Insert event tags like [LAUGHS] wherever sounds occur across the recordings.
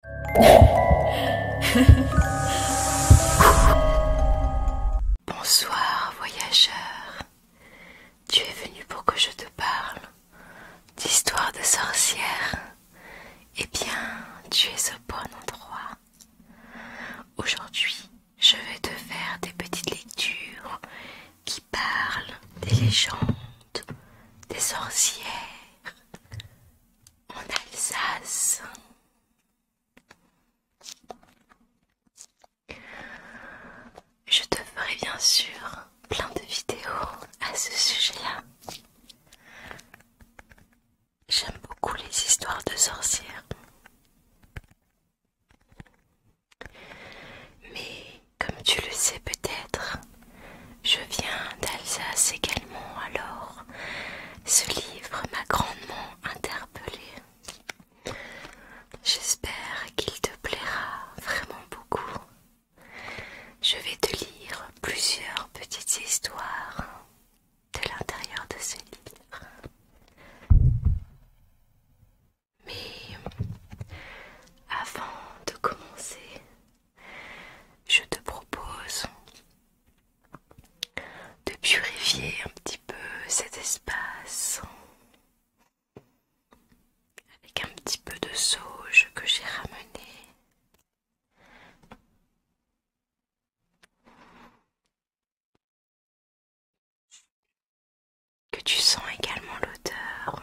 [LAUGHS] Bonsoir, voyageur. Tu es venu pour que je te parle d'histoire de sorcières. Eh bien, tu es au bon endroit. Aujourd'hui, je vais te faire des petites lectures qui parlent des légendes, des sorcières, en Alsace. Je te ferai bien sûr plein de vidéos à ce sujet-là. J'aime beaucoup les histoires de sorcières. Mais comme tu le sais peut-être, je viens d'Alsace également, alors ce livre m'a grandement interpellée. J'espère qu'il te plaira vraiment beaucoup. Je vais te lire plusieurs petites histoires de l'intérieur de ce livre. Mais avant de commencer, je te propose de purifier un petit peu cet espace avec un petit peu de sauge que j'ai ramené. Que tu sens également l'odeur.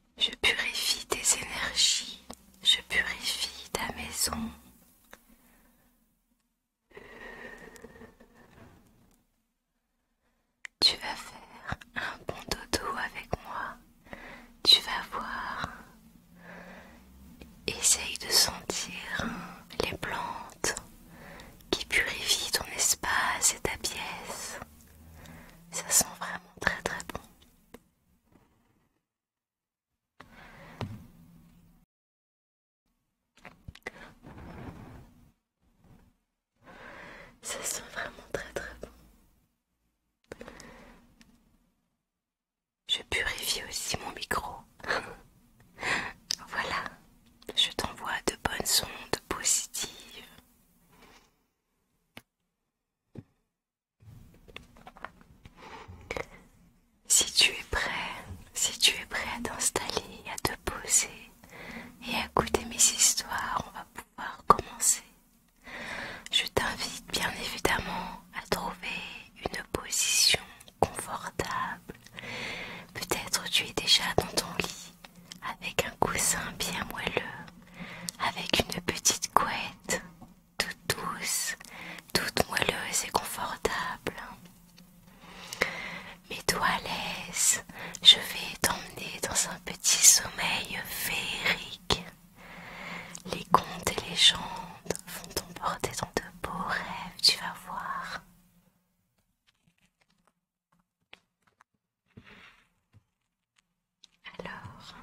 Je purifie tes énergies, je purifie ta maison. Tu vas faire un bon dodo avec moi. Tu vas voir. Essaye de sentir les plantes qui purifient ton espace et ta pièce. Ça sent vraiment très très bon. Ça sent vraiment très très bon. Je purifie aussi mon micro. [LAUGHS] voilà, je t'envoie de bonnes ondes positives. Si tu es prêt, si tu es prêt à t'installer, à te poser et à écouter mes histoires, on va pouvoir commencer. Je t'invite bien évidemment à trouver une position confortable. Peut-être tu es déjà dans ton lit avec un coussin bien moelleux, avec une petite couette toute douce, toute moelleuse et confortable. mes toi je vais t'emmener dans un petit sommeil féerique. Les contes et légendes vont t'emporter dans de beaux rêves, tu vas voir. Alors,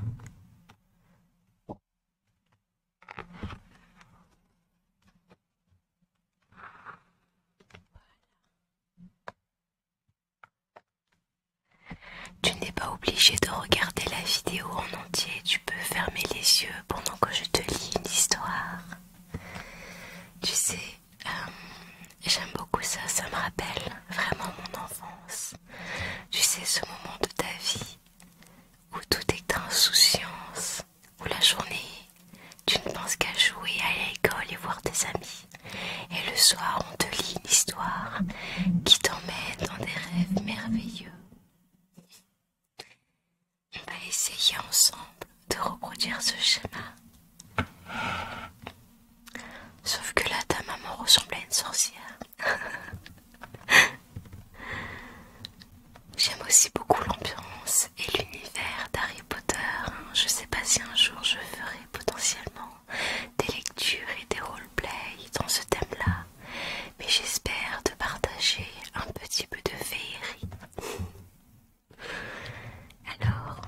tu n'es pas obligé de regarder la vidéo en entier, tu peux fermer les yeux pendant que je te lis une histoire. Tu sais, euh, j'aime beaucoup ça, ça me rappelle vraiment mon enfance. Tu sais, ce moment de ta vie où tout est insouciance, où la journée, tu ne penses qu'à jouer à l'école et voir tes amis. Et le soir, on te lit une histoire qui t'emmène dans des rêves merveilleux. On va essayer ensemble de reproduire ce schéma. Sauf que là, ta maman ressemble à une sorcière. J'aime aussi beaucoup l'ambiance et l'univers d'Harry Potter. Je sais pas si un jour je ferai potentiellement des lectures et des roleplay dans ce thème-là, mais j'espère te partager un petit peu de féerie. Alors,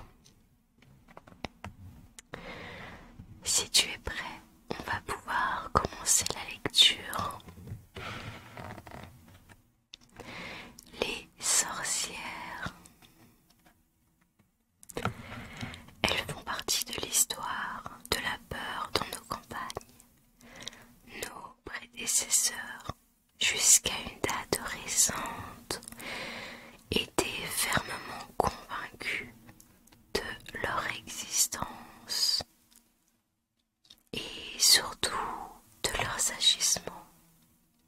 si tu es prêt, on va pouvoir commencer la lecture. Les sorcières. Elles font partie de l'histoire de la peur dans nos campagnes. Nos prédécesseurs, jusqu'à une date récente, étaient fermement convaincus de leur existence et surtout de leurs agissements.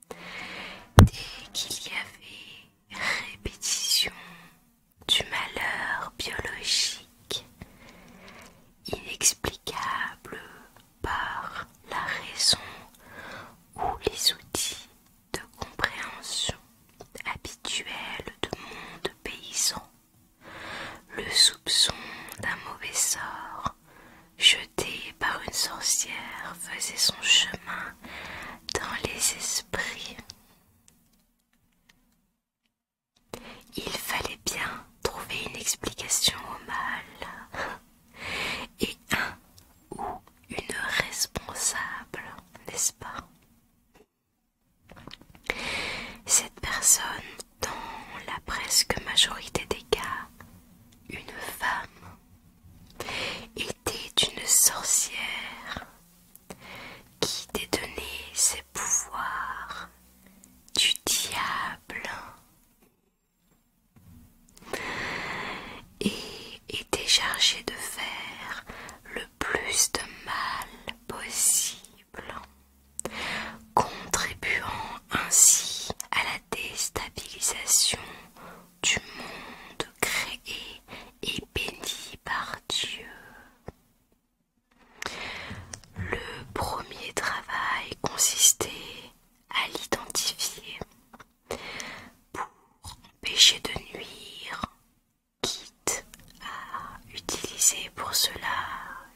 Dès qu'il y avait répétition du malheur biologique inexplicable par la raison ou les outils de compréhension habituel de monde paysan, le soupçon d'un mauvais sort jeté par une sorcière faisait son chemin dans les esprits. Il fallait bien trouver une explication au mal [LAUGHS] et un ou une responsable, n'est-ce pas cette personne, dans la presque majorité des cas, une femme, était une sorcière qui détenait ses pouvoirs du diable et était chargée de faire le plus de mal possible, contribuant ainsi à la déstabilisation du monde créé et béni par Dieu. Le premier travail consistait à l'identifier pour empêcher de nuire quitte à utiliser pour cela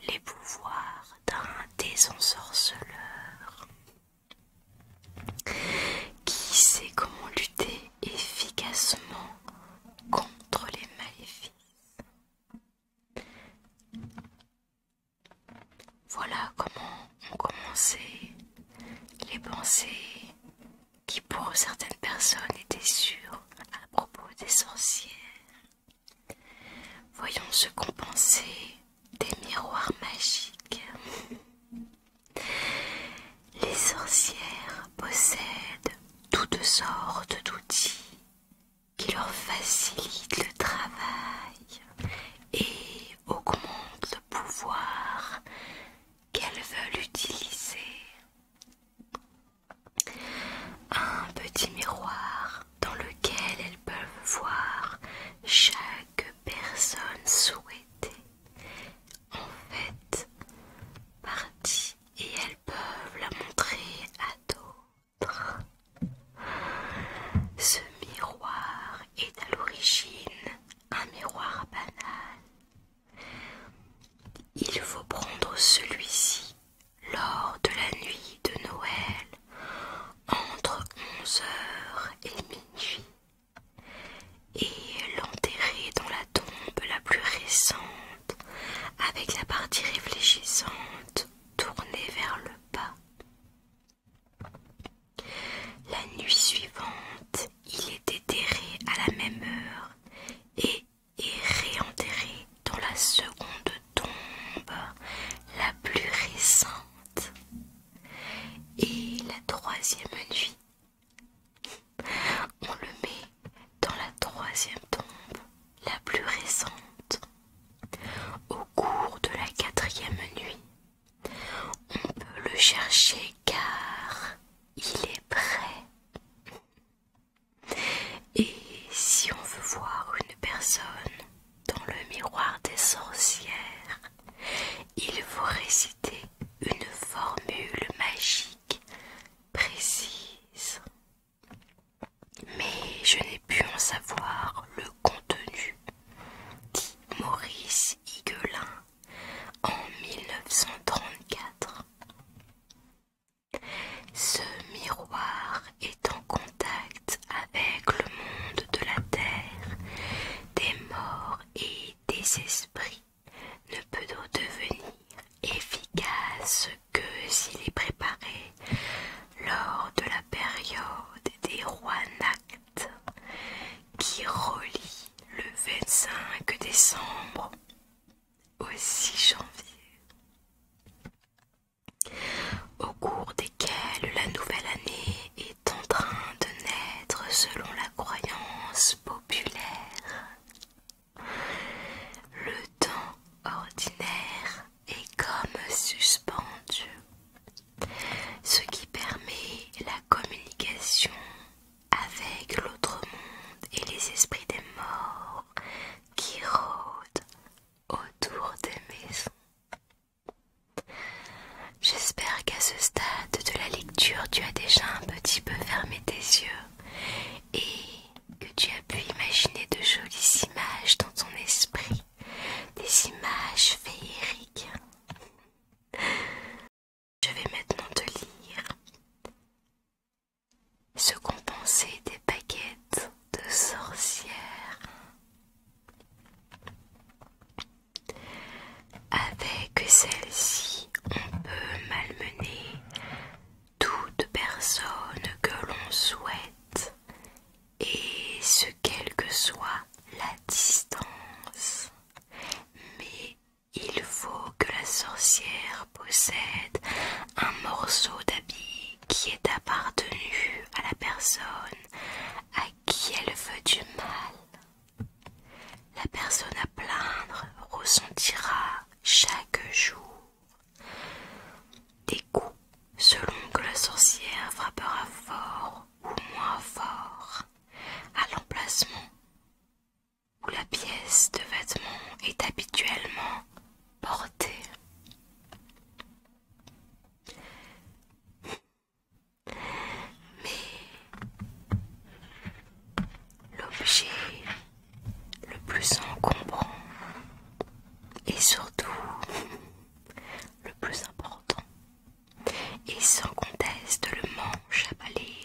les pouvoirs d'un désensorceleur qui sait comment lutter efficacement contre les maléfices. Voilà comment ont commencé les pensées qui pour certaines personnes étaient sûres à propos des sorcières. Voyons ce compenser des miroirs magiques. Les sorcières possèdent toutes sortes d'outils qui leur facilitent le travail et augmentent le pouvoir qu'elles veulent utiliser. Un petit miroir dans lequel elles peuvent voir chaque personne souhaitée en fait partie et elles peuvent la montrer à d'autres. Ce miroir est à l'origine un miroir banal il faut prendre celui-ci lors de la nuit de Noël, entre 11 heures et minuit, et l'enterrer dans la tombe la plus récente, avec la partie réfléchissante tournée vers le bas. La nuit suivante, il est enterré à la même heure et et réenterré dans la seconde tombe, la plus récente. Et la troisième nuit, on le met dans la troisième tombe, la plus récente. Au cours de la quatrième nuit, on peut le chercher car il est prêt. Et si on veut voir une personne dans le miroir des sorcières, il faut réciter une formule magique précise. Mais je n'ai pu en savoir le contenu, dit Maurice Higuelin en 1934. Ce miroir est en contact avec le monde de la terre, des morts et des esprits, ne peut donc devenir efficace que s'il est préparé lors de la période des rois nacts qui relie le 25 décembre au 6 janvier, au cours desquels la nouvelle année est en train de naître selon la croyance populaire. Le temps ordinaire est comme suspendu, ce qui permet la communication avec l'autre monde et les esprits des morts qui rôdent autour des maisons. J'espère qu'à ce stade de la lecture, tu as déjà un petit peu fermé tes yeux et que tu as pu imaginer de jolies images dans ton esprit, des images féeriques. Je vais maintenant te lire ce qu'on pensait des baguettes de sorcières avec celle-ci on peut malmener toute personne que l'on souhaite et ce quelle que soit la distance mais il faut que la sorcière possède un morceau d'habit qui est appartenu à la personne à qui elle veut du mal. La personne à plaindre ressentira chaque jour des coups selon que la sorcière frappera fort ou moins fort à l'emplacement où la pièce de vêtement est habituellement portée. Mais l'objet le plus encombrant et surtout le plus important est sans conteste le manche à balai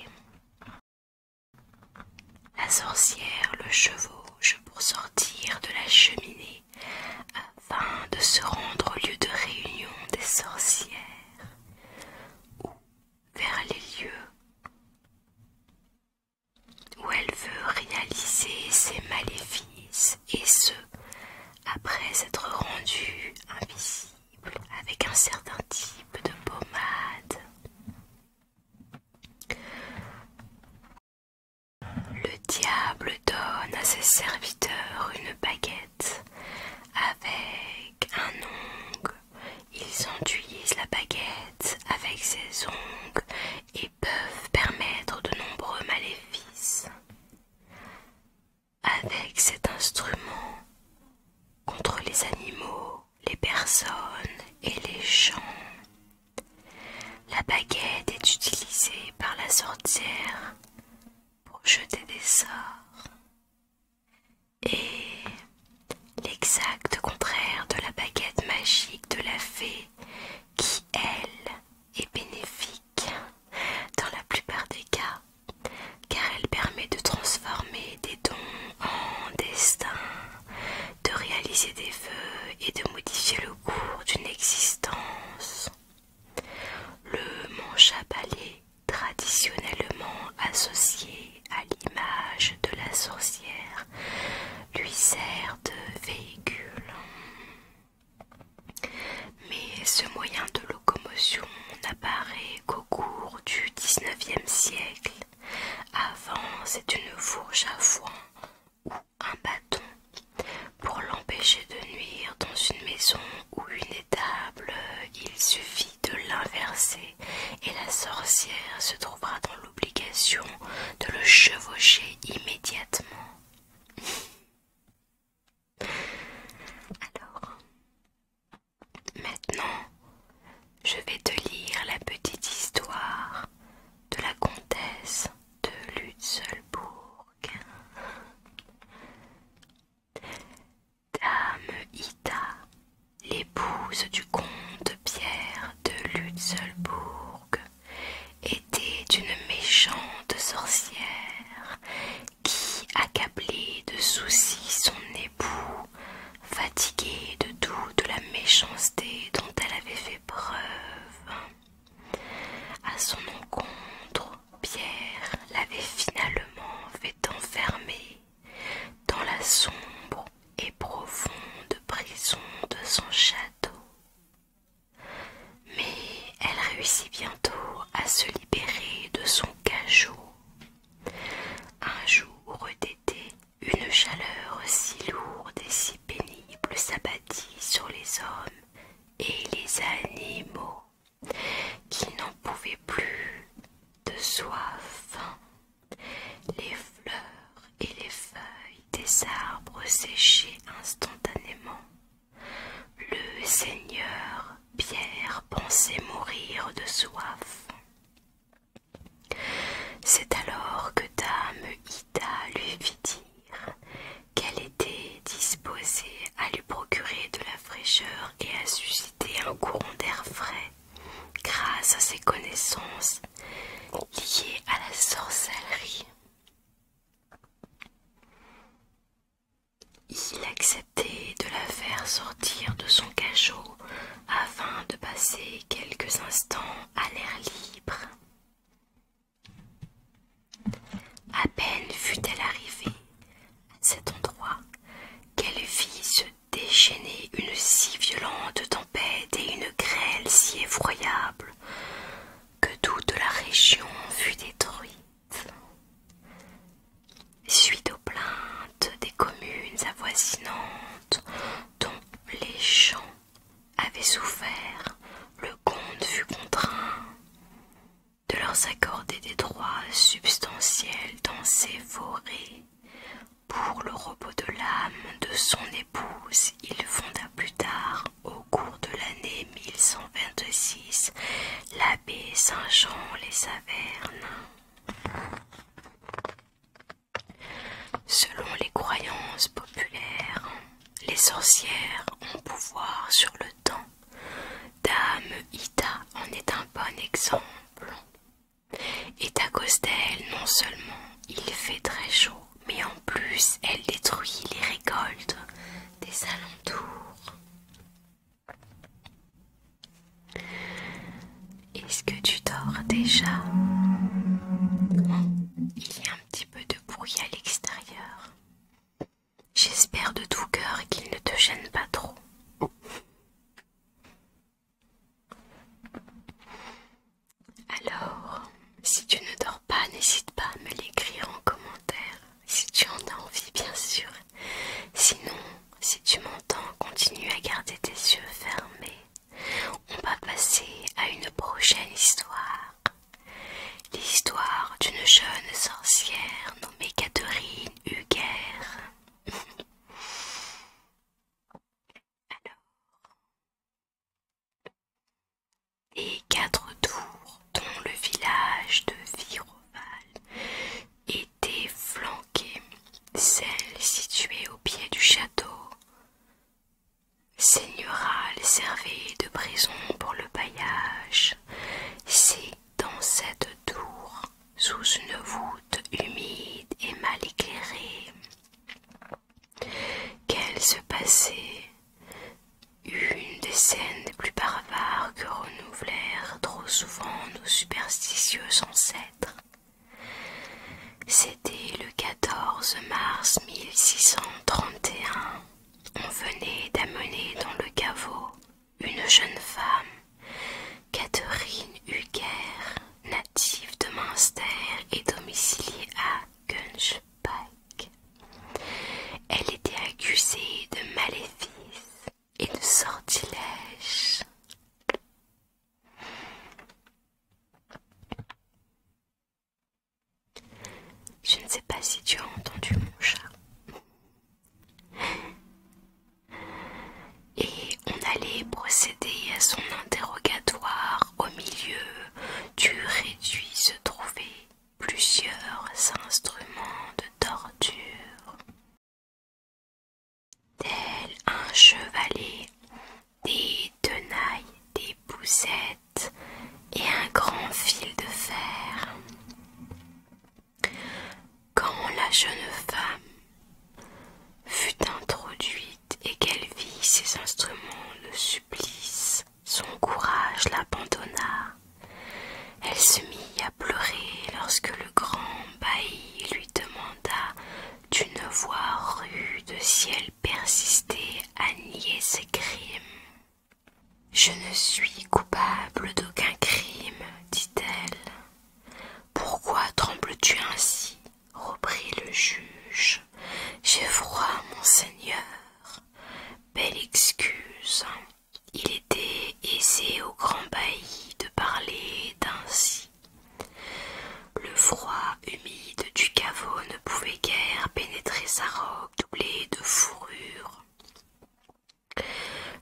la sorcière le chevauche pour sortir de la cheminée afin de se rendre au lieu de réunion des sorcières ou vers les lieux où elle veut réaliser ses maléfices et ce, après s'être rendue invisible avec un certain type de pommade. Le diable donne à ses serviteurs une baguette avec un ongle. Ils enduisent la baguette avec ses ongles et peuvent permettre de nombreux maléfices. Avec cet instrument, contre les animaux, les personnes et les gens. La baguette est utilisée par la sorcière pour jeter des sorts. Et l'exact contraire de la baguette magique de la fée qui, elle, est bénéfique dans la plupart des cas, car elle permet de transformer des dons en destins, de réaliser des vœux et de modifier le cours d'une existence. Le manche à traditionnellement associé à l'image de la sorcière, lui sert de véhicule. Mais ce moyen de locomotion n'apparaît qu'au cours du XIXe siècle avant, c'est une fourche à foin ou un bâton pour l'empêcher de nuire dans une maison ou une étable. Il suffit de l'inverser et la sorcière se trouvera dans l'obligation de le chevaucher immédiatement. [LAUGHS] Maintenant, je vais te lire la petite histoire de la comtesse de Lutzelbourg. Dame Ida, l'épouse du comte Pierre de Lutzelbourg, était une méchante sorcière qui, accablait de soucis, son époux fatiguée de de la méchanceté dont elle avait fait preuve. À son encontre, Pierre l'avait finalement fait enfermer dans la sombre et profonde prison de son château. Mais elle réussit bientôt à se libérer de son cachot un jour d'été, une chaleur si lourde et si pénible s'abattit sur les hommes et les animaux qui n'en pouvaient plus de soif. Les fleurs et les feuilles des arbres séchaient instantanément. Le Seigneur Pierre pensait mourir de soif. C'est alors que Dame Ida lui fit dire qu'elle était disposée à lui procurer de la fraîcheur et à susciter un courant d'air frais grâce à ses connaissances liées à la sorcellerie. Il de la faire sortir de son cachot afin de passer quelques instants à l'air libre. À peine fut-elle arrivée à cet endroit qu'elle vit se déchaîner une si violente tempête et une grêle si effroyable que toute la région fut détruite suite aux plaintes des communes avoisinantes dont les champs avaient souffert, le comte fut contraint de leur accorder des droits substantiels dans ces forêts. Pour le repos de l'âme de son épouse, il fonda plus tard, au cours de l'année 1126, l'abbé Saint-Jean les Avernes. Selon les croyances populaires, les sorcières ont pouvoir sur le temps. Dame Ita en est un bon exemple. Et à cause d'elle, non seulement il fait très chaud, mais en plus elle détruit les récoltes des alentours. Est-ce que tu dors déjà Il y a un petit peu de bruit à l'extérieur. J'espère de tout cœur qu'il ne te gêne pas trop. Alors, si tu ne dors pas, n'hésite pas à me l'écrire en commentaire, si tu en as envie bien sûr. Sinon, si tu m'entends, continue à garder tes yeux fermés. On va passer à une prochaine histoire. L'histoire d'une jeune sorcière nommée Catherine Huger. Alors, quatre tours dont le village de Viroval était celle située au pied du château. Seigneurale servait de prison pour le bailliage. C'est dans cette tour, sous une voûte humide et mal éclairée, qu'elle se passait une des scènes les plus barbares que renouvelèrent trop souvent nos superstitieux ancêtres. C'était le 14 mars 1631. On venait d'amener dans le caveau une jeune femme, Catherine Huger, native de Münster et domiciliée à Gunschbach. Elle était accusée de maléfice et de sortilèges. Je ne sais pas si tu as entendu mon chat. Et on allait procéder à son interrogatoire au milieu du réduit se trouvaient plusieurs instruments de torture Tel un chevalet, des tenailles, des boussettes et un grand fil de fer. Quand la jeune femme fut introduite et qu'elle vit ses instruments de supplice, son courage l'abandonna. Elle se mit à pleurer lorsque le grand bailli lui demanda d'une voix rude si elle persistait à nier ses crimes. Je ne suis coupable d'aucun crime, dit-elle. Pourquoi trembles-tu ainsi reprit le juge. J'ai froid, monseigneur. Belle excuse. Hein. Il était et c'est au grand bailli de parler d'ainsi. Le froid humide du caveau ne pouvait guère pénétrer sa robe doublée de fourrure.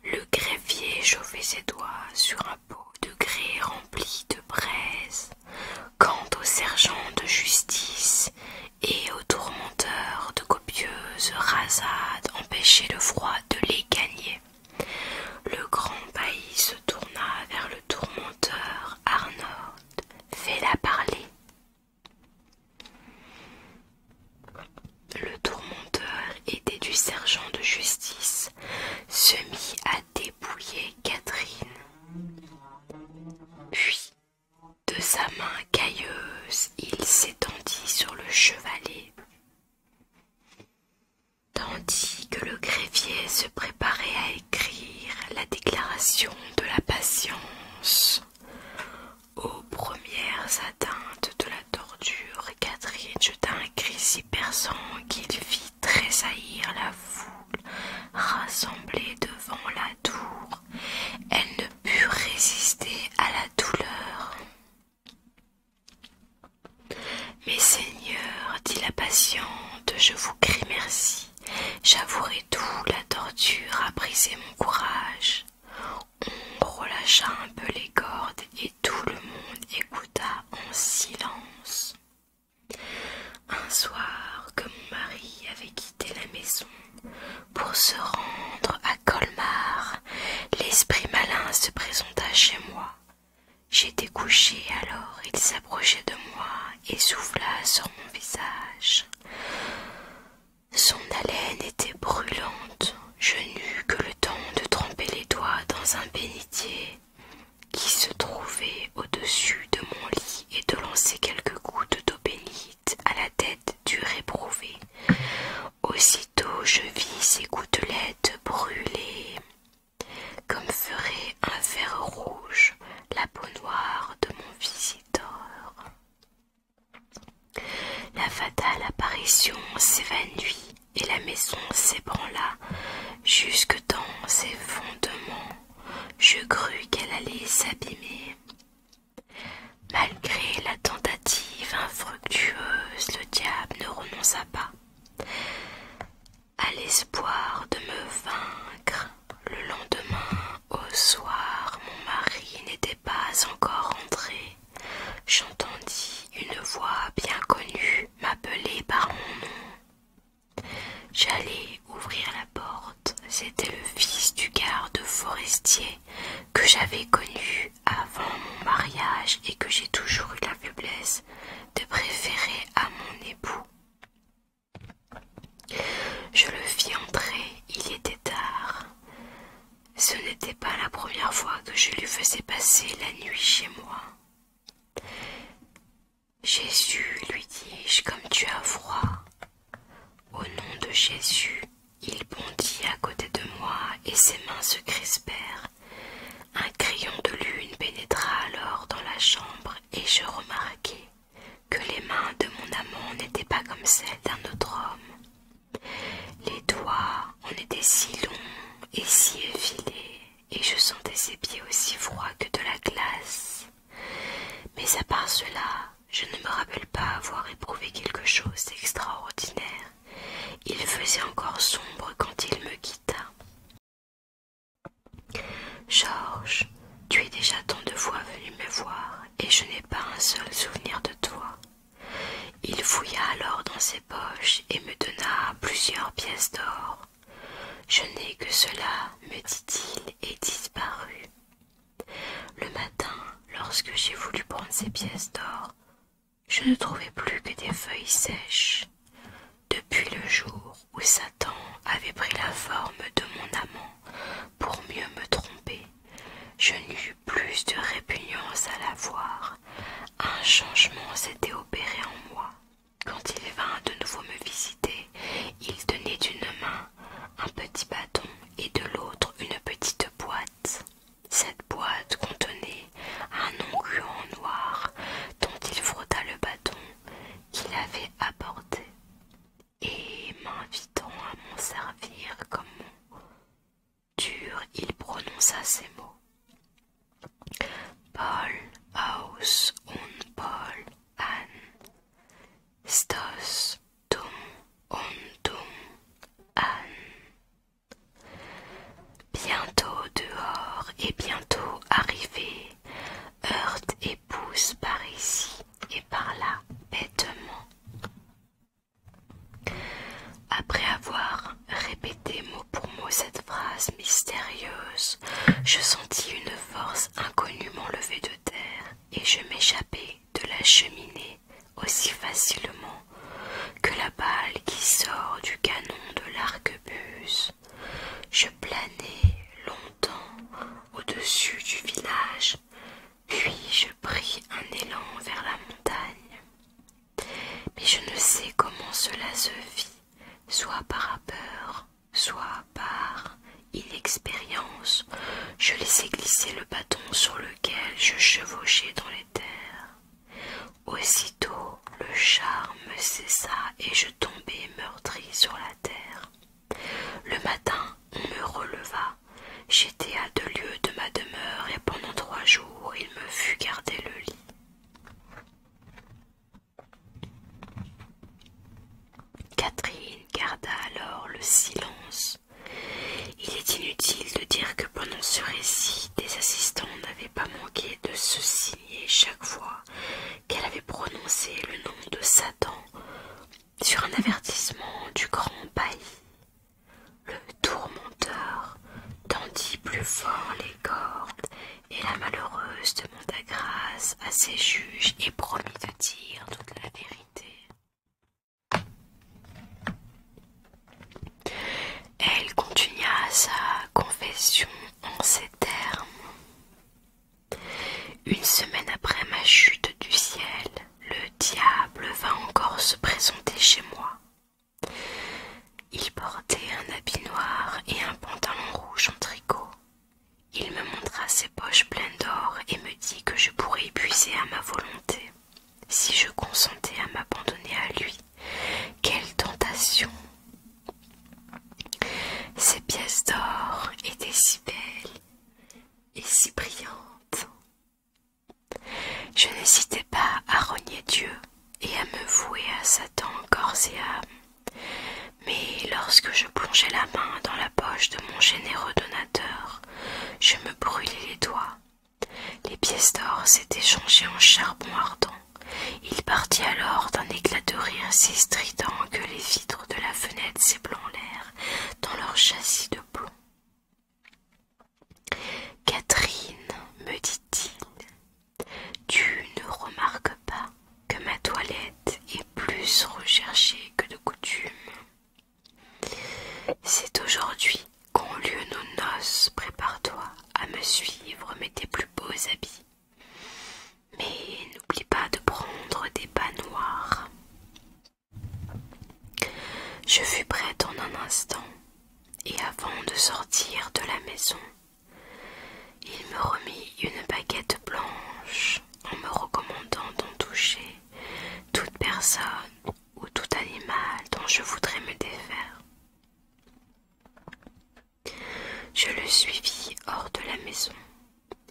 Le greffier chauffait ses doigts sur un pot de grès rempli de braises Quant aux sergents de justice et aux tourmenteurs de copieuses rasades empêchaient le froid de les gagner. Le grand bailli se tourna vers le tourmenteur Arnold. Fais-la parler. Le tourmenteur était du sergent de justice, se mit à dépouiller Catherine. Puis, de sa main cailleuse, il s'étendit sur le chevalet tandis que le greffier se préparait à écrire la déclaration de la patience aux premières atteintes de la torture, Catherine jeta un cri si perçant qu'il fit tressaillir la foule rassemblée devant la tour. Elle ne put résister à la douleur. Mes seigneurs, dit la patiente, je vous crie merci. J'avouerai tout, la torture a brisé mon courage. On relâcha un peu les cordes et tout le monde écouta en silence. Un soir que mon mari avait quitté la maison pour se rendre à Colmar, l'esprit malin se présenta chez moi J'étais couché, alors il s'approchait de moi et souffla sur mon visage. Son haleine était brûlante. Je n'eus que le temps de tremper les doigts dans un bénitier qui se trouvait au-dessus de mon lit et de lancer quelques gouttes d'eau bénite à la tête du réprouvé je vis ces gouttelettes brûler, comme ferait un verre rouge la peau noire de mon visiteur. La fatale apparition s'évanouit et la maison s'ébranla jusque dans ses fondements. Je crus qu'elle allait s'abîmer. Malgré la tentative infructueuse, le diable ne renonça pas à l'espoir de me vaincre. Le lendemain, au soir, mon mari n'était pas encore rentré. J'entendis une voix bien connue m'appeler par mon nom. J'allai ouvrir la porte. C'était le fils du garde forestier que j'avais connu avant mon mariage et que j'ai toujours eu la faiblesse de préférer à mon époux. Je le fis entrer, il était tard. Ce n'était pas la première fois que je lui faisais passer la nuit chez moi. Jésus, lui dis-je, comme tu as froid. Au nom de Jésus, il bondit à côté de moi et ses mains se crispèrent un crayon de lune pénétra alors dans la chambre et je remarquai que les mains de mon amant n'étaient pas comme celles d'un autre homme. Les doigts en étaient si longs et si effilés, et je sentais ses pieds aussi froids que de la glace. Mais à part cela, je ne me rappelle pas avoir éprouvé quelque chose d'extraordinaire il faisait encore sombre quand il me quitta. Georges, tu es déjà tant de fois venu me voir et je n'ai pas un seul souvenir de toi. Il fouilla alors dans ses poches et me donna plusieurs pièces d'or. Je n'ai que cela, me dit-il, et disparut. Le matin, lorsque j'ai voulu prendre ces pièces d'or, je ne trouvais plus que des feuilles sèches depuis le jour où Satan avait pris la forme de mon amant pour mieux me tromper. Je n'eus plus de répugnance à la voir. Un changement s'était opéré en moi. Quand il vint de nouveau me visiter, il tenait d'une main un petit bâton et de l'autre une petite boîte. Cette boîte contenait un onguent noir dont il frotta le bâton qu'il avait apporté et m'invitant à m'en servir comme mon dur, il prononça ces mots. Paul aus und Paul an Stos an Bientôt dehors et bientôt arrivé, heurte et pousse par ici et par là bêtement. Après avoir répété mot pour mot cette phrase mystérieuse, je sentis une force inconnue m'enlever de terre et je m'échappai de la cheminée aussi facilement que la balle qui sort du canon de l'arquebuse. Je planai longtemps au-dessus du village, puis je pris un élan vers la montagne. Mais je ne sais comment cela se fit, soit par peur, soit par inexpérience. Je laissai glisser le bâton sur lequel je chevauchais dans les terres. Aussitôt le charme cessa et je tombai meurtri sur la terre. Le matin, on me releva. J'étais à deux lieues de ma demeure et pendant trois jours il me fut gardé le lit. Catherine garda alors le silence. Il est inutile de dire que pendant ce récit, des assistants n'avaient pas manqué de se signer chaque fois qu'elle avait prononcé le nom de Satan sur un avertissement du grand bailli. Le tourmenteur tendit plus fort les cordes et la malheureuse demanda grâce à ses juges et promit de dire toute la vérité. Elle continua sa confession en ces termes. Une semaine après ma chute du ciel, le diable vint encore se présenter chez moi. Il portait un habit noir et un pantalon rouge en tricot. Il me montra ses poches pleines d'or et me dit que je pourrais y puiser à ma volonté. Si je consentais à m'abandonner à lui, quelle tentation Ces pièces d'or étaient si belles et si brillantes. Je n'hésitais pas à rogner Dieu et à me vouer à Satan corps et âme. Mais lorsque je plongeais la main dans la poche de mon généreux donateur, je me brûlais les doigts les pièces d'or s'étaient changées en charbon ardent. Il partit alors d'un éclat de rire si strident que les vitres de la fenêtre l'air dans leur châssis de plomb. Catherine, me dit-il, tu ne remarques pas que ma toilette est plus recherchée que de coutume. C'est aujourd'hui quand lieu nos noces, prépare-toi à me suivre, mets tes plus beaux habits. Mais n'oublie pas de prendre des pas noirs. Je fus prête en un instant, et avant de sortir de la maison, il me remit une baguette blanche en me recommandant d'en toucher toute personne ou tout animal dont je voudrais me défaire. Je le suivis hors de la maison.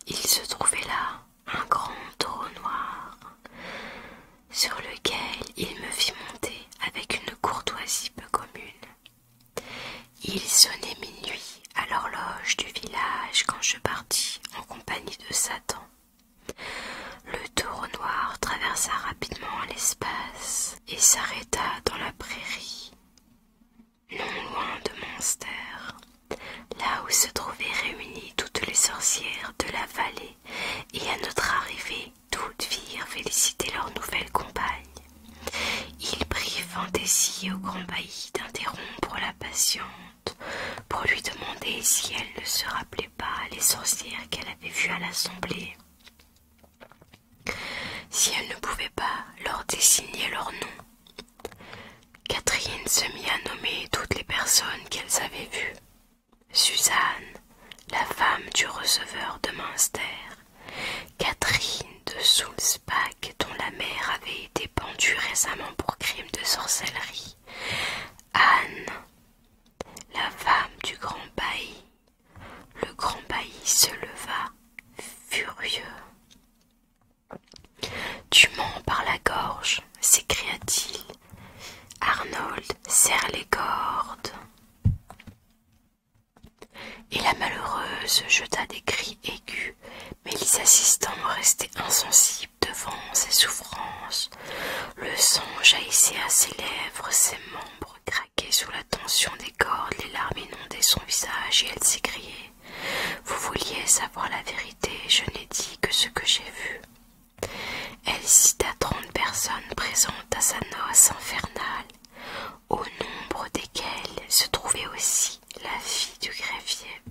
Il se trouvait là un grand taureau noir sur lequel il me fit monter avec une courtoisie peu commune. Il sonnait minuit à l'horloge du village quand je partis en compagnie de Satan. Le taureau noir traversa rapidement l'espace et s'arrêta dans la prairie, non loin de Monster, là où se trouvaient réunies toutes les sorcières de la vallée, et à notre arrivée, toutes virent féliciter leur nouvelle compagne. Il prit fantaisie au grand bailli d'interrompre la patiente pour lui demander si elle ne se rappelait pas les sorcières qu'elle avait vues à l'assemblée. Si elle ne pouvait pas leur désigner leur nom, Catherine se mit à nommer toutes les personnes qu'elles avaient vues. Suzanne, la femme du receveur de Münster, Catherine de Soulsbach, dont la mère avait été pendue récemment pour crime de sorcellerie, Anne, la femme du grand bailli le grand bailli se leva, furieux. Tu mens par la gorge, s'écria-t-il. Arnold, serre les cordes. Et la malheureuse jeta des cris aigus, mais les assistants restaient insensibles devant ses souffrances. Le sang jaillissait à ses lèvres, ses membres sous la tension des cordes, les larmes inondaient son visage et elle s'écriait Vous vouliez savoir la vérité, je n'ai dit que ce que j'ai vu. Elle cita trente personnes présentes à sa noce infernale, au nombre desquelles se trouvait aussi la fille du greffier.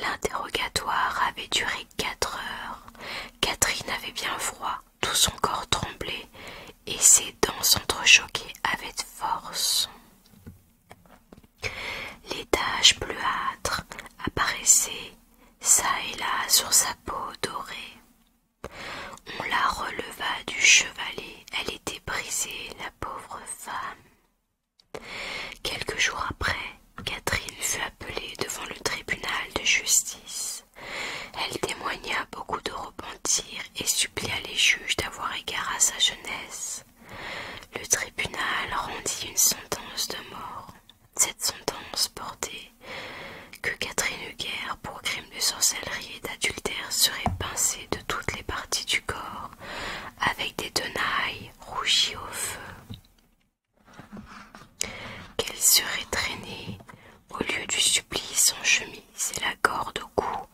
L'interrogatoire avait duré quatre heures. Catherine avait bien froid tout son corps tremblait et ses dents s'entrechoquaient avec force. Les taches bleuâtres apparaissaient çà et là sur sa peau dorée. On la releva du chevalet, elle était brisée, la pauvre femme. Quelques jours après, Catherine fut appelée devant le tribunal de justice. Elle témoigna beaucoup de repentir et supplia les juges d'avoir égard à sa jeunesse. Le tribunal rendit une sentence de mort. Cette sentence portait que Catherine Huguer, pour crime de sorcellerie et d'adultère, serait pincée de toutes les parties du corps avec des tenailles rougies au feu qu'elle serait traînée au lieu du supplice en chemise et la corde au cou,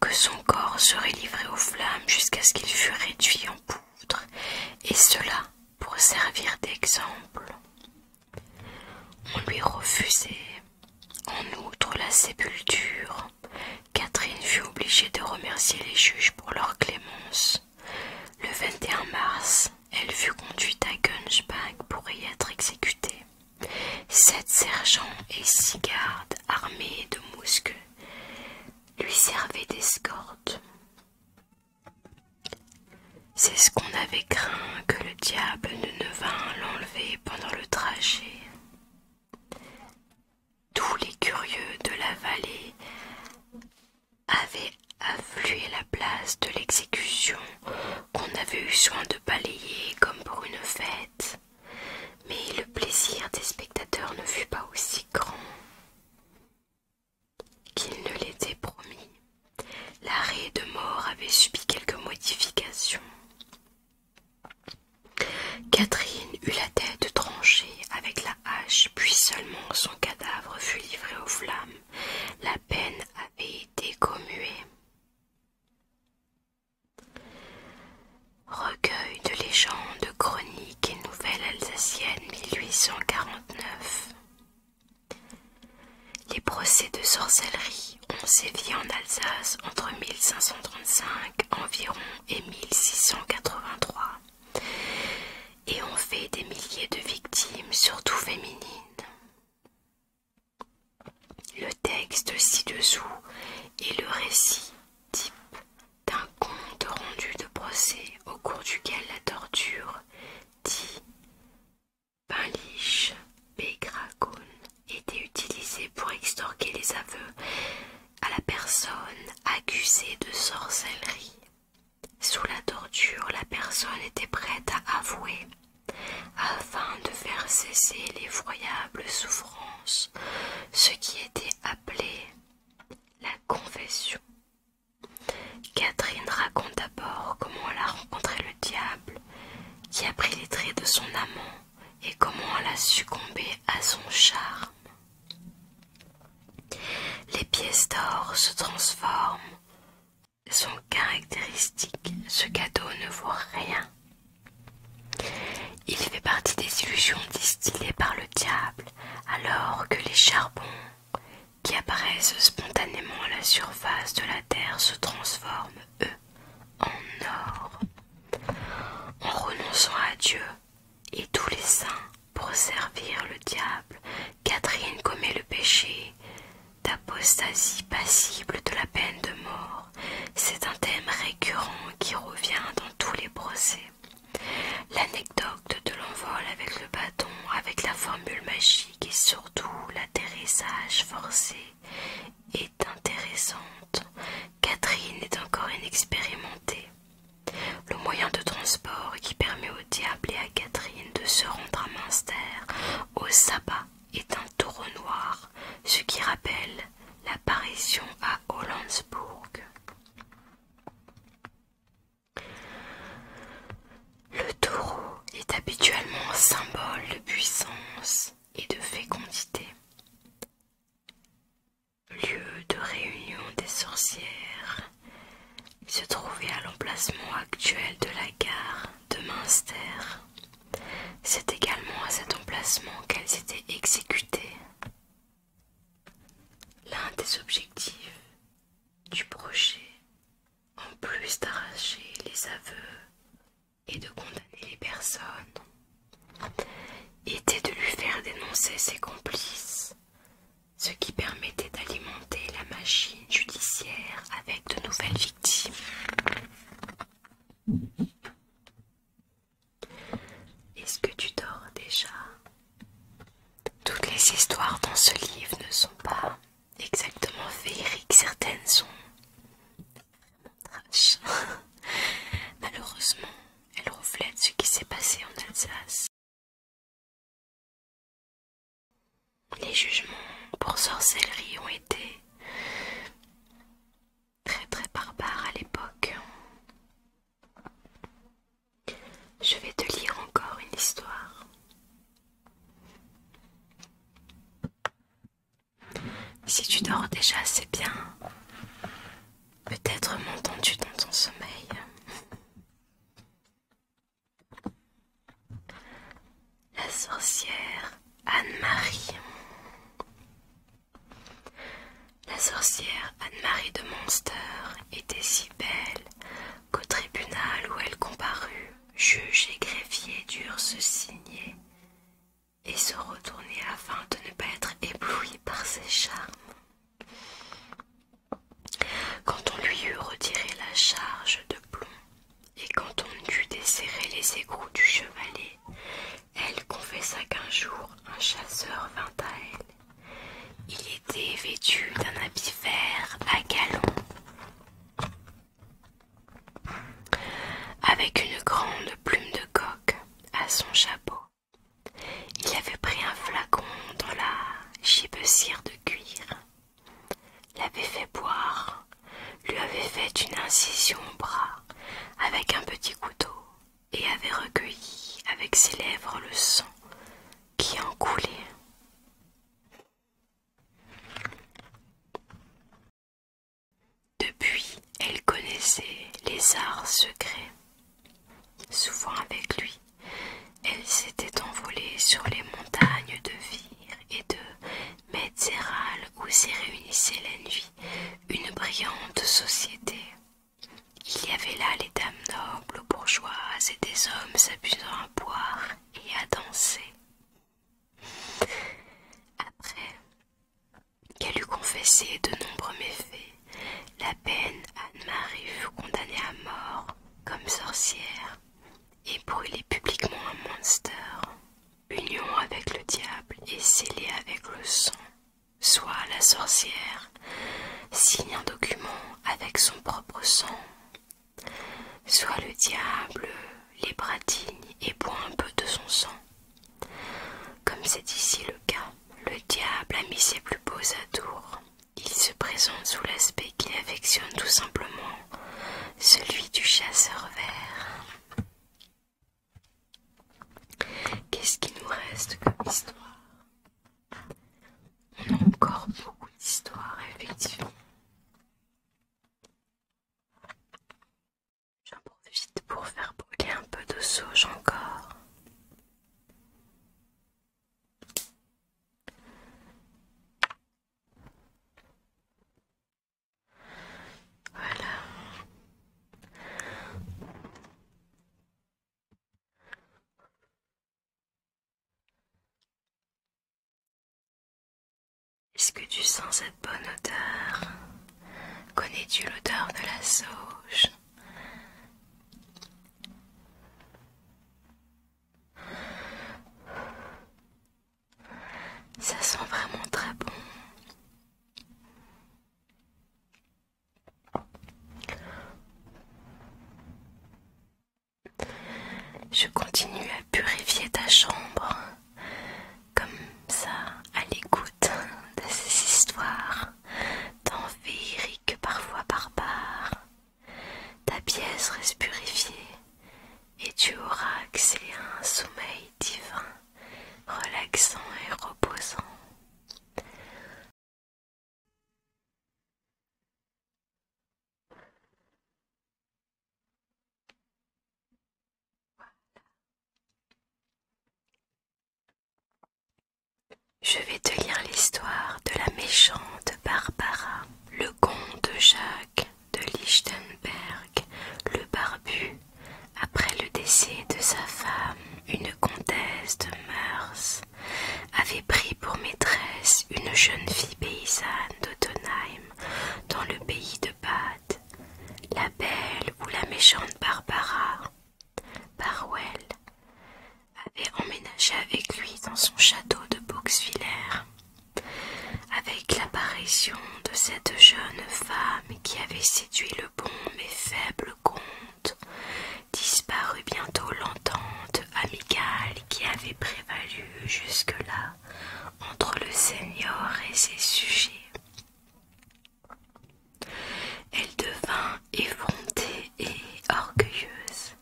que son corps serait livré aux flammes jusqu'à ce qu'il fût réduit en poudre, et cela pour servir d'exemple. On lui refusait en outre la sépulture. Catherine fut obligée de remercier les juges pour leur clémence. Le 21 mars, elle fut conduite à Gunchback pour y être exécutée. Sept sergents et six gardes armés de mousquets lui servaient d'escorte. C'est ce qu'on avait craint que le diable ne, ne vînt l'enlever pendant le trajet. Tous les curieux de la vallée avait afflué la place de l'exécution qu'on avait eu soin de balayer comme pour une fête. Mais le plaisir des spectateurs ne fut pas aussi grand qu'il ne l'était promis. L'arrêt de mort avait subi quelques modifications. Catherine eut la tête tranchée avec la hache, puis seulement son cadavre fut livré aux flammes. La peine et été Recueil de légendes, chroniques et nouvelles alsaciennes 1849. Les procès de sorcellerie ont sévi en Alsace entre 1535 environ et 1683 et ont fait des milliers de victimes, surtout féminines. Le texte ci-dessous est le récit type d'un conte rendu de procès au cours duquel la torture dit Pinlich était utilisée pour extorquer les aveux à la personne accusée de sorcellerie sous la torture, la personne était prête à avouer, afin de faire cesser l'effroyable souffrance, ce qui était appelé la confession. Catherine raconte d'abord comment elle a rencontré le diable, qui a pris les traits de son amant, et comment elle a succombé à son charme. Les pièces d'or se transforment sont caractéristiques, ce cadeau ne voit rien. Il fait partie des illusions distillées par le diable, alors que les charbons qui apparaissent spontanément à la surface de la Terre se transforment, eux, en or. En renonçant à Dieu et tous les saints pour servir le diable, Catherine commet le péché d'apostasie passible de la peine de mort. C'est un thème récurrent qui revient dans tous les procès. L'anecdote de l'envol avec le bâton, avec la formule magique et surtout l'atterrissage forcé est intéressante. Catherine est encore inexpérimentée. Le moyen de transport qui permet au diable et à Catherine de se rendre à münster au sabbat est un taureau noir, ce qui rappelle l'apparition à Hollandsburg. Le taureau est habituellement symbole de puissance et de fécondité, lieu de réunion des sorcières se trouvait à l'emplacement actuel de la gare de Münster. C'est également à cet emplacement qu'elles étaient exécutées. L'un des objectifs du projet, en plus d'arracher les aveux et de condamner les personnes, était de lui faire dénoncer ses complices, ce qui permettait d'alimenter la machine judiciaire avec de nouvelles victimes. Est-ce que tu dors déjà Toutes les histoires dans ce livre ne sont pas exactement féeriques, certaines sont [LAUGHS] Malheureusement, elles reflètent ce qui s'est passé en Alsace les jugements pour sorcellerie ont été très très barbares à l'époque. Je vais te lire encore une histoire. Si tu dors déjà, c'est bien. Peut-être m'entends-tu dans ton sommeil. La sorcière Anne-Marie. La sorcière Anne-Marie de Monster était si belle qu'au tribunal où elle comparut, juges et greffiers durent se signer et se retourner afin de ne pas être éblouis par ses charmes. Quand on lui eut retiré la charge de plomb et quand on eut desserré les égouts du chevalet, elle confessa qu'un jour un chasseur vint à elle. Il était vêtu d'un habit vert à galons, avec une grande plume de coq à son chapeau. Il avait pris un flacon dans la gibecière de cuir l'avait fait boire, lui avait fait une incision au bras avec un petit couteau et avait recueilli avec ses lèvres le sang qui en coulait. Depuis, elle connaissait les arts secrets, souvent avec lui, elle s'était envolée sur les montagnes de Vire et de Metzéral où s'y réunissait la nuit une brillante société. Il y avait là les dames nobles, bourgeoises et des hommes s'abusant à boire et à danser. Après qu'elle eut confessé de nombreux méfaits, la peine Anne-Marie fut condamnée à mort comme sorcière et brûler publiquement un monstre, Union avec le diable et scellé avec le sang. Soit la sorcière signe un document avec son propre sang. Soit le diable les bradigne et boit un peu de son sang. Comme c'est ici le cas, le diable a mis ses plus beaux atours il se présente sous l'aspect qui affectionne tout simplement, celui du chasseur vert. Qu'est-ce qui nous reste comme histoire On a encore beaucoup d'histoires, effectivement. J'en profite pour faire brûler un peu de sauge encore. Est-ce que tu sens cette bonne odeur Connais-tu l'odeur de la sauge ça sent vraiment très bon. Je continue à purifier ta chambre comme ça à l'écoute de ces histoires tant féeriques que parfois barbares ta pièce reste purifiée et tu auras accès à un sommeil divin, relaxant et reposant. Je vais te lire l'histoire de la méchante Barbara le comte Jacques de Lichtenberg, le barbu, après le décès de sa femme, une comtesse de Meurs, avait pris pour maîtresse une jeune fille paysanne d'Ottenheim dans le pays de Bade, la belle ou la méchante Barbara Barwell avait emménagé avec lui dans son château de Boxwiller avec l'apparition de cette jeune femme qui avait séduit le bon mais faible comte, disparut bientôt l'entente amicale qui avait prévalu jusque-là entre le seigneur et ses sujets. Elle devint effrontée et orgueilleuse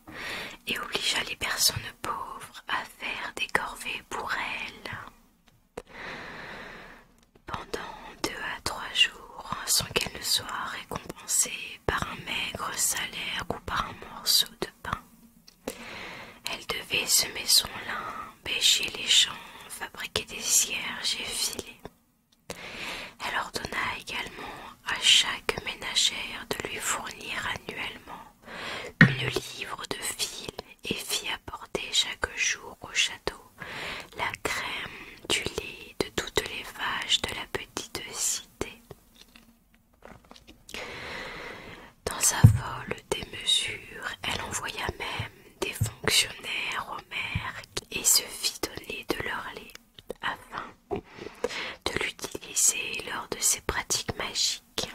et obligea les personnes pauvre à faire des corvées pour elle. Pendant deux à trois jours, sans qu'elle ne soit récompensée par un maigre salaire ou par un morceau de pain, elle devait semer son lin, pêcher les champs, fabriquer des cierges et filer. Elle ordonna également à chaque ménagère de lui fournir annuellement une livre de fil et fit apporter chaque jour au château la crème du lait de toutes les vaches de la petite cité. Dans sa folle démesure, elle envoya même des fonctionnaires au maire et se fit donner de leur lait afin de l'utiliser lors de ses pratiques magiques.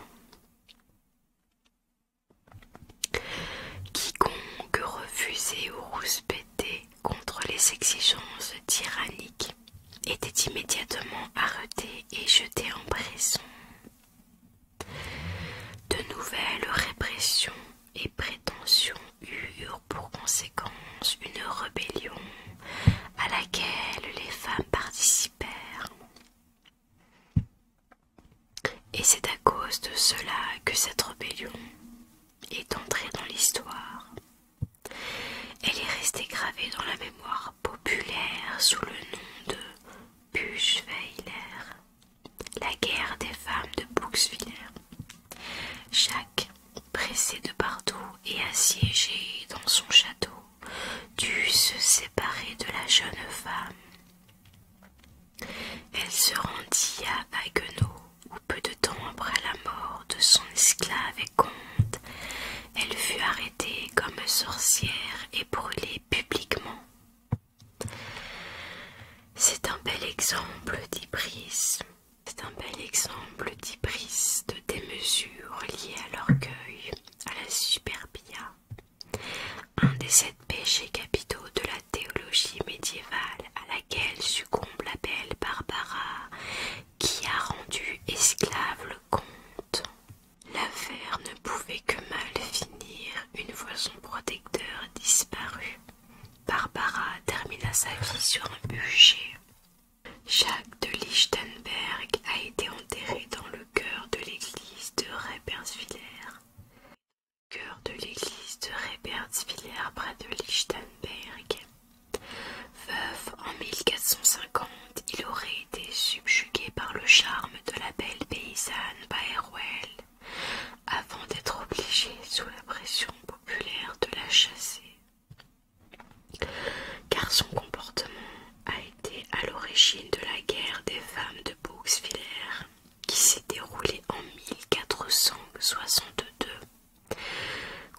Quiconque refusait ou rouspétait contre les exigences tyranniques était immédiatement arrêté et jeté en prison. De nouvelles répressions et prétentions eurent pour conséquence une rébellion à laquelle les femmes participèrent. Et c'est à cause de cela que cette rébellion est entrée dans l'histoire. Elle est restée gravée dans la mémoire populaire sous le nom de Buchweiler, la guerre des femmes de Buxwiller. Jacques, pressé de partout et assiégé dans son château, dut se séparer de la jeune femme. Elle se rendit à Haguenau, où peu de temps après la mort de son esclave et comte, elle fut arrêtée comme sorcière et brûlée publiquement. C'est un bel exemple dit Price. C'est un bel exemple petit de démesure liée à l'orgueil, à la superbia, un des sept péchés capitaux de la théologie médiévale à laquelle succombe la belle Barbara qui a rendu esclave le comte. L'affaire ne pouvait que mal finir une fois son protecteur disparu. Barbara termina sa vie sur un bûcher. Jacques de Lichtenberg a été enterré dans le cœur de l'église de Reberswiller. Cœur de l'église de près de Lichtenberg. Veuf en 1450, il aurait été subjugué par le charme de la belle paysanne Baerwell avant d'être obligé, sous la pression populaire, de la chasser car son comportement a été à l'origine de la guerre des femmes de Bouxwiller qui s'est déroulée en 1462.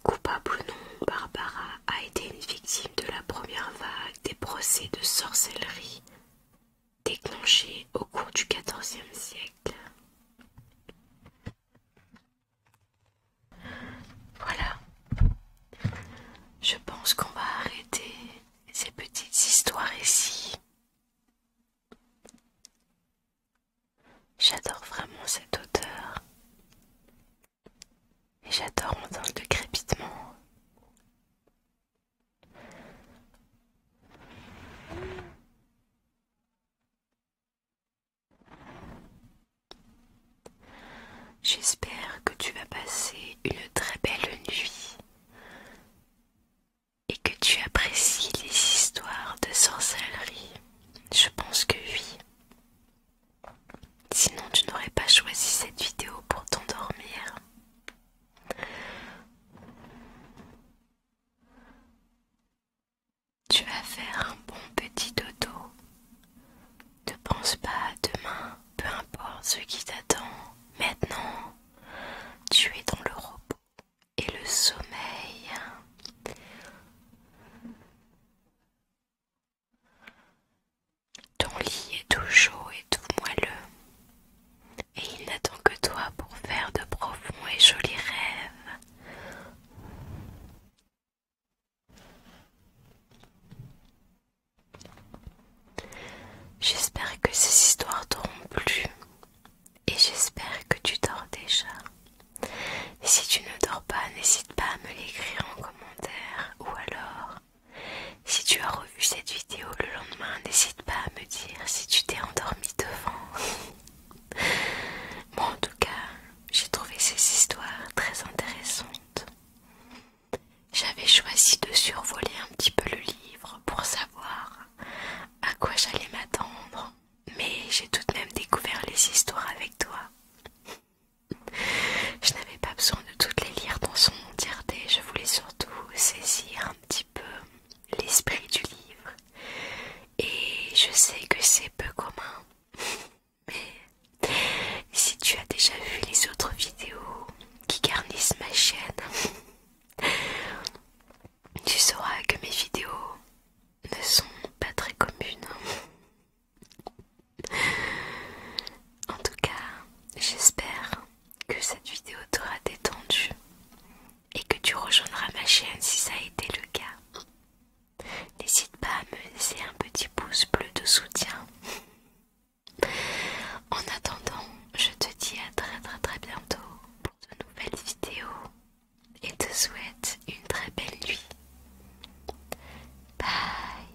Coupable ou non, Barbara a été une victime de la première vague des procès de sorcellerie déclenchés au cours du XIVe siècle. Voilà. Je pense qu'on va arrêter ces petites histoires ici. J'adore vraiment cette odeur. Et j'adore entendre de crépitement. J'espère que tu vas passer une très belle nuit et que tu apprécies les histoires de sorcellerie. Je pense que oui. Sinon tu n'aurais pas choisi cette vidéo pour t'endormir. Tu vas faire un bon petit dodo ne pense pas demain, peu importe ce qui t'attend. Maintenant, tu es dans le repos et le sommeil. Ton lit est tout chaud et tout moelleux. Et il n'attend que toi pour faire de profonds et jolis rêves. J'espère que ces histoires t'auront plu et j'espère que tu dors déjà. si tu ne dors pas, n'hésite pas à me l'écrire en commentaire ou alors si tu as revu cette vidéo le lendemain, n'hésite pas à me dire si tu t'es endormi devant. Moi [LAUGHS] en tout cas, j'ai trouvé ces histoires très intéressantes j'avais choisi de survoler un petit peu le livre pour savoir à quoi j'allais m'attendre, mais j'ai tout de même découvert les histoires avec toi. Je n'avais pas besoin de toutes les lire dans son entièreté, je voulais surtout saisir un petit peu l'esprit du livre. Et je sais que c'est peu commun. Mais, [LAUGHS] Si tu as déjà vu les autres vidéos qui garnissent ma chaîne, [LAUGHS] tu sauras que mes vidéos ne sont pas très communes. En tout cas, j'espère que cette vidéo t'aura détendu et que tu rejoindras ma chaîne si ça a été le cas. N'hésite pas à me laisser un petit pouce bleu de soutien. En attendant, je te dis à très très très bientôt pour de nouvelles vidéos et te souhaite une très belle nuit. Bye